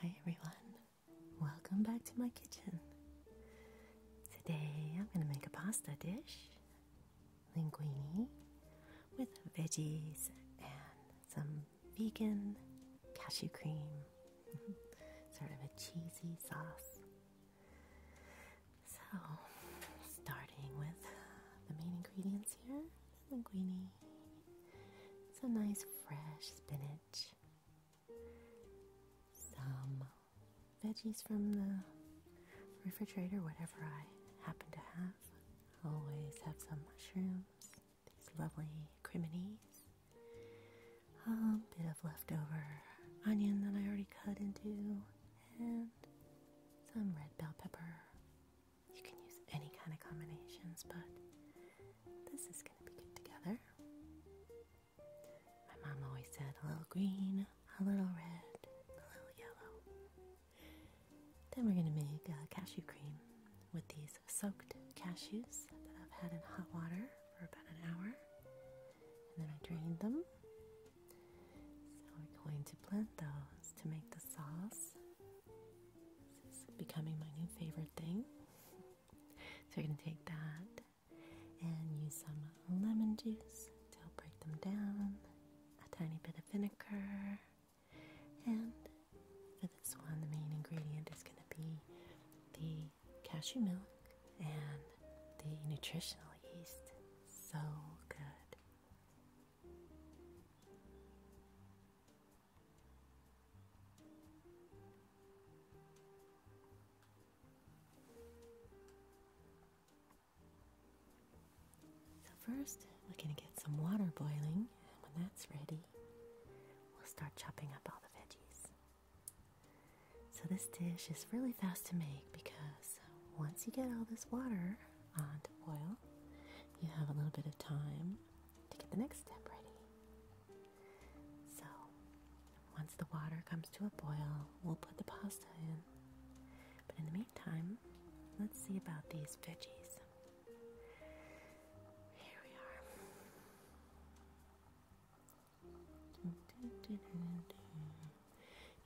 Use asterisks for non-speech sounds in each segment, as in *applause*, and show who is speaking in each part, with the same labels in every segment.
Speaker 1: Hi everyone, welcome back to my kitchen. Today I'm going to make a pasta dish, linguine, with veggies and some vegan cashew cream, *laughs* sort of a cheesy sauce. So, starting with the main ingredients here linguine, some nice fresh spinach, some veggies from the refrigerator, whatever I happen to have. Always have some mushrooms, these lovely criminies, a bit of leftover onion that I already cut into, and some red bell pepper. You can use any kind of combinations, but this is going to be good together. My mom always said a little green, a little red, a little yellow. Then we're going to make cashew cream with these soaked cashews that I've had in hot water for about an hour, and then I drained them. So we're going to blend those to make the sauce. This is becoming my new favorite thing. *laughs* So we're going to take that and use some lemon juice to help break them down, a tiny bit of vinegar, and for this one, the main ingredient is going to be the cashew milk and the nutritional yeast. So good. So, first, we're going to get some water boiling, and when that's ready, we'll start chopping up all the veggies. So, this dish is really fast to make because once you get all this water on to boil, you have a little bit of time to get the next step ready. So, once the water comes to a boil, we'll put the pasta in. But in the meantime meantime, let's see about these veggies. Here we are.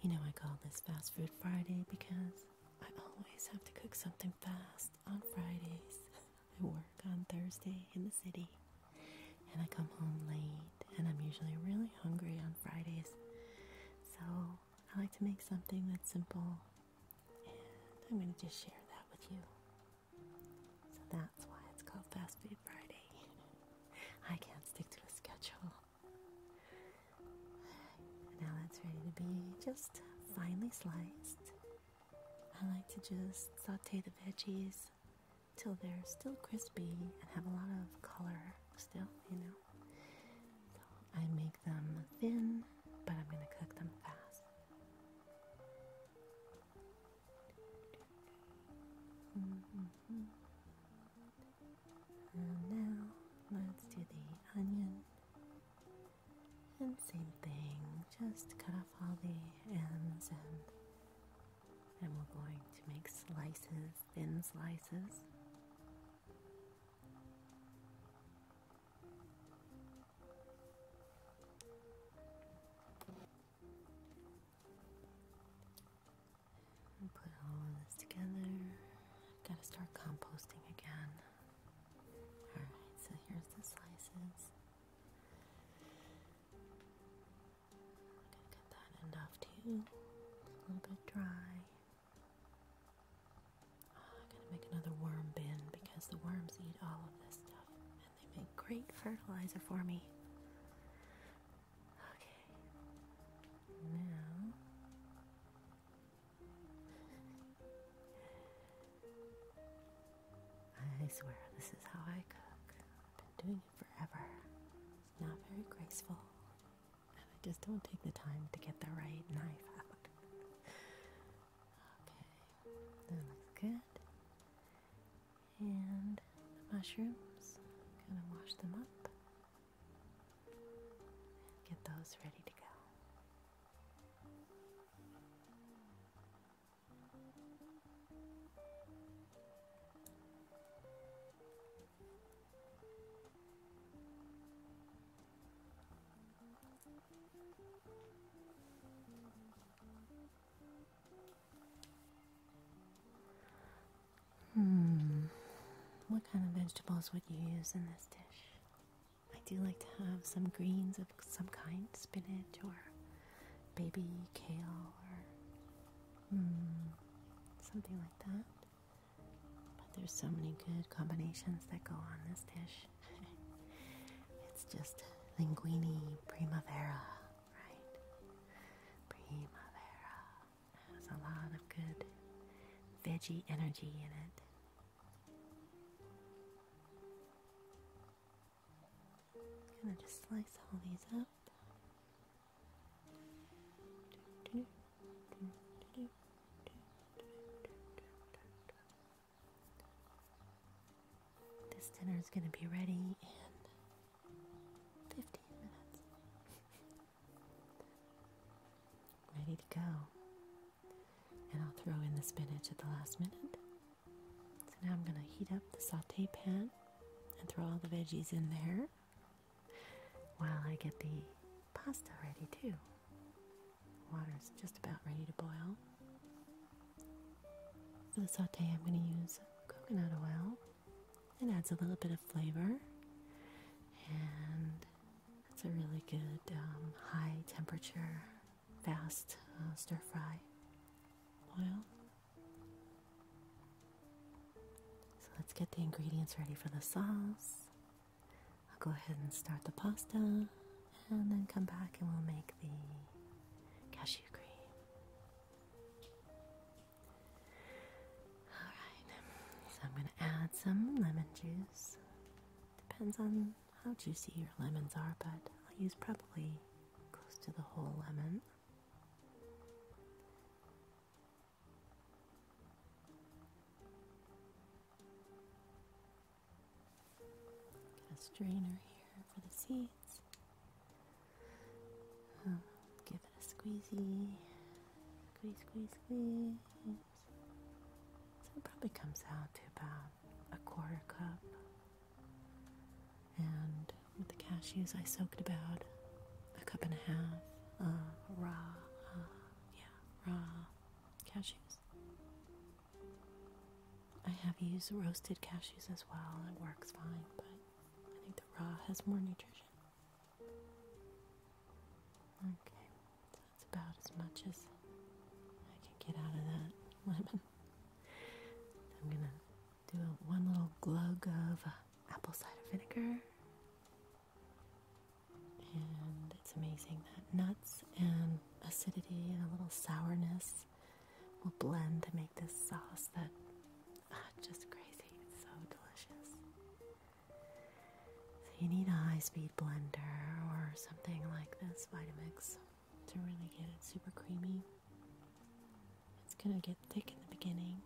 Speaker 1: You know, I call this Fast Food Friday because I always have to cook something fast on Fridays. *laughs* I work on Thursday in the city and I come home late, and I'm usually really hungry on Fridays. So I like to make something that's simple and I'm going to just share that with you. So that's why it's called Fast Food Friday. *laughs* I can't stick to a schedule. *sighs* Now that's ready to be just finely sliced. I like to just saute the veggies till they're still crispy and have a lot of color still, you know. So I make thin, but I'm going to cook them fast. And now let's do the onion. And same thing, just cut off all the ends and we're going to make slices, thin slices put all this together. got to start composting again. Alright, so here's the slices. I'm that enough to a little bit dry. Oh, I gotta make another worm bin because the worms eat all of this stuff and they make great fertilizer for me. Okay, now I swear this is how I cook. I've been doing it forever. not very graceful and I just don't take the time to get the right knife out. okay, that looks good. And the mushrooms, gonna wash them up get those ready to go. Hmm. What kind of vegetables would you use in this dish? I do like to have some greens of some kind, spinach or baby kale or hmm, something like that. But there's so many good combinations that go on this dish. *laughs* it's just linguini primavera, right? Primavera. It has a lot of good veggie energy in it. gonna just slice all these up. This dinner is going to be ready in 15 minutes. *laughs* ready to go. And I'll throw in the spinach at the last minute. So now I'm going to heat up the saute pan and throw all the veggies in there while I get the pasta ready too. Water's just about ready to boil. For the saute, I'm going to use coconut oil. It adds a little bit of flavor and it's a really good um, high temperature fast uh, stir fry oil. So let's get the ingredients ready for the sauce. I'll go ahead and start the pasta and then come back and we'll make the cashew cream. Alright, so I'm going to add some lemon juice. Depends on how juicy your lemons are, but I'll use probably close to the whole lemon. Got a strainer here for the seeds. Um, give it a squeezy. Squeeze, squeeze, squeeze. So it probably comes out to about a quarter cup and with the cashews, I soaked about a cup and a half uh, raw, uh, yeah, raw cashews. I have used roasted cashews as well. It works fine, but I think the raw has more nutrition. Okay, that's about as much as I can get out of that *laughs* lemon. I'm gonna do one little glug of uh, apple cider vinegar. And it's amazing that nuts and acidity and a little sourness will blend to make this sauce that ah, just crazy. It's so delicious. So you need a high-speed blender or something like this Vitamix to really get it super creamy. It's gonna get thick in the beginning,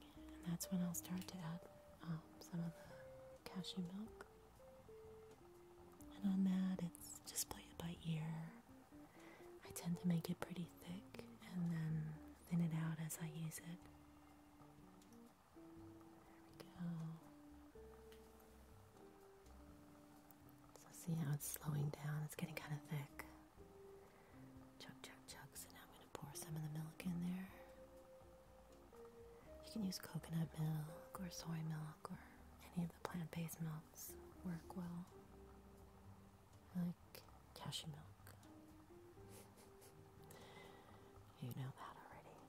Speaker 1: and that's when I'll start to add um, some of the cashew milk. And on that, it's just play it by ear. I tend to make it pretty thick and then thin it out as I use it. There we go. So see how it's slowing down? It's getting kind of thick. Chug, chug, chug. So now I'm going to pour some of the milk in there. You can use coconut milk or soy milk or any of the plant based milks, work well. I like cashew milk. *laughs* you know that already.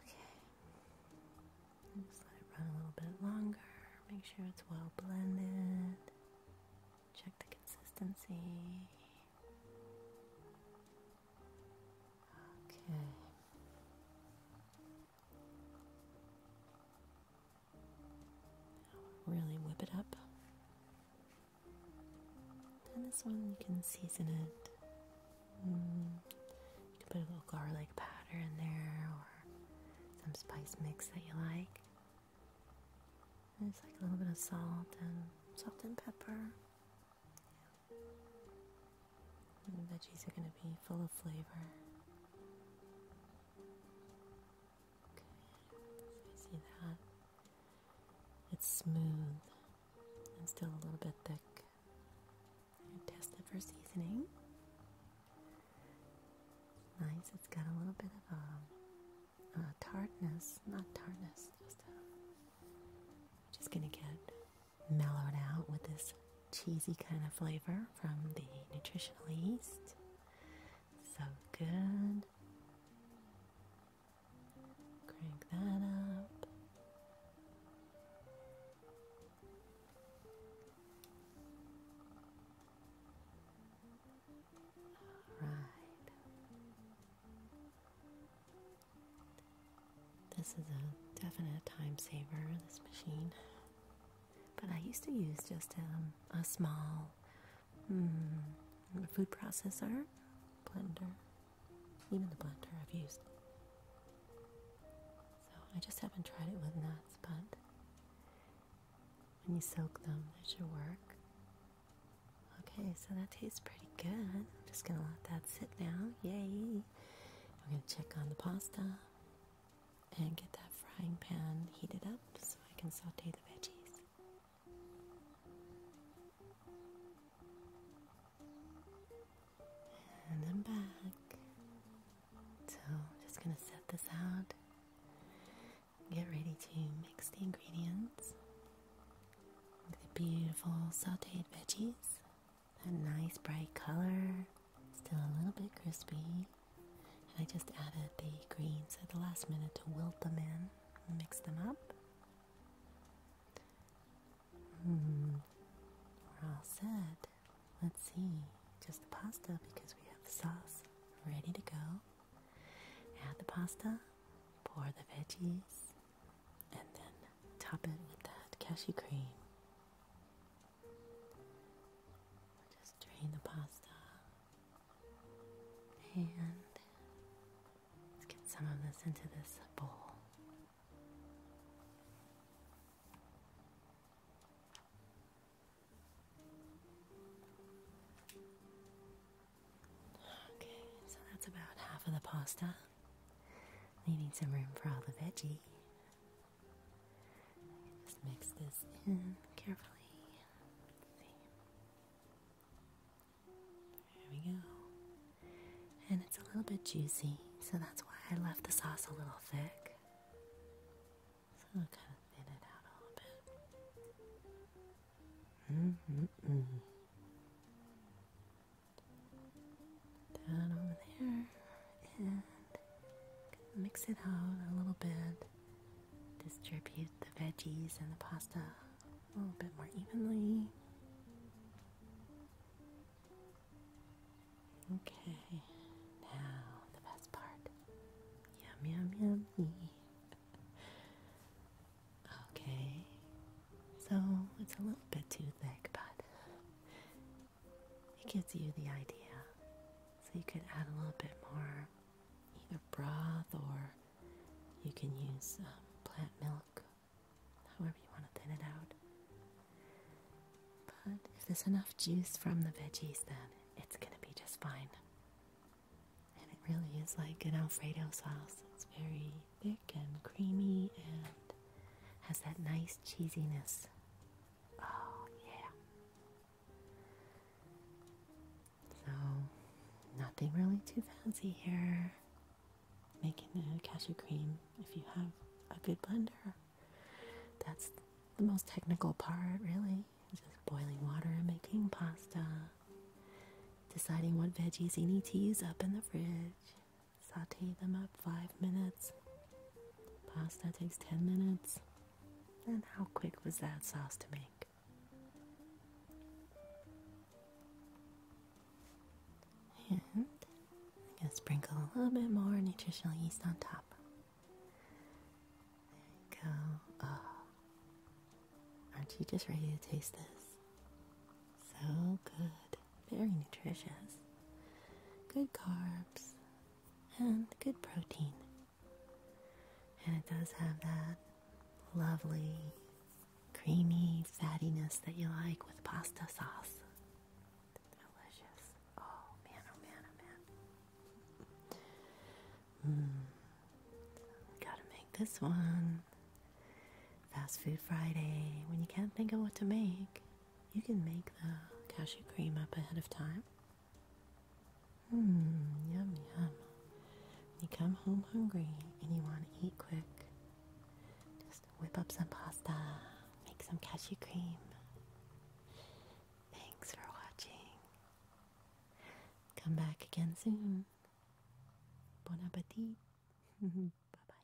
Speaker 1: Okay let it run a little bit longer. Make sure it's well blended. Check the consistency. Okay. Really whip it up. And this one you can season it Mm. You can put a little garlic powder in there or some spice mix that you like. And it's like a little bit of salt and salt and pepper. Yeah. And the veggies are going to be full of flavor. see that? It's smooth and still a little bit thick. And test for seasoning. nice, it's got a little bit of um, a, tartness, not tartness, just a, uh, just gonna get mellowed out with this cheesy kind of flavor from the nutritional yeast. So good. Crank that up. All right. This is a definite time saver, this machine. But I used to use just um, a small hmm, food processor blender even the blender I've used. So I just haven't tried it with nuts, but when you soak them, that should work. Okay, so that tastes pretty good. I'm just gonna let that sit now. Yay! I'm gonna check on the pasta and get that frying pan heated up so I can saute the veggies and I'm back. So, just gonna set this out. Get ready to mix the ingredients with the beautiful sauteed veggies. That nice bright color, still a little bit crispy. And I just added the greens at the last minute to wilt them in, and mix them up. Hmm. We're all set. Let's see. Just the pasta because we have the sauce ready to go. Add the pasta, pour the veggies, and then top it with that cashew cream. Just drain the pasta. And get some of this into this bowl. Okay, so that's about half of the pasta, leaving some room for all the veggie. Just mix this in carefully. There we go. And it's a little bit juicy, so that's why I left the sauce a little thick. So I'll kind of thin it out a little bit. Down over there, and mix it out a little bit. Distribute the veggies and the pasta a little bit more evenly. Okay, now the best part. Yum, yum, yummy. okay, so it's a little bit too thick, but it gives you the idea. So you could add a little bit more either broth or you can use um, plant milk however you want to thin it out. But if there's enough juice from the veggies, then it's going to be just fine. And it really is like an Alfredo sauce. It's very thick and creamy and has that nice cheesiness. Oh, yeah. So, nothing really too fancy here. Making a cashew cream if you have a good blender. That's the most technical part, really. Just boiling water and making pasta. Deciding what veggies you need to use up in the fridge. Saute them up five minutes. Pasta takes 10 minutes. And how quick was that sauce to make? And I'm going to sprinkle a little bit more nutritional yeast on top. There you go. Ah. aren't you just ready to taste this? So good. Very nutritious. Good carbs and good protein. And it does have that lovely creamy fattiness that you like with pasta sauce. Delicious. Oh man, oh man, oh man. Hmm. Gotta make this one. Fast Food Friday. When you can't think of what to make, you can make the cashew cream up ahead of time. Hmm, yum yum. You come home hungry and you want to eat quick. Just whip up some pasta, make some cashew cream. Thanks for watching. Come back again soon. Bon appetit. *laughs* bye bye.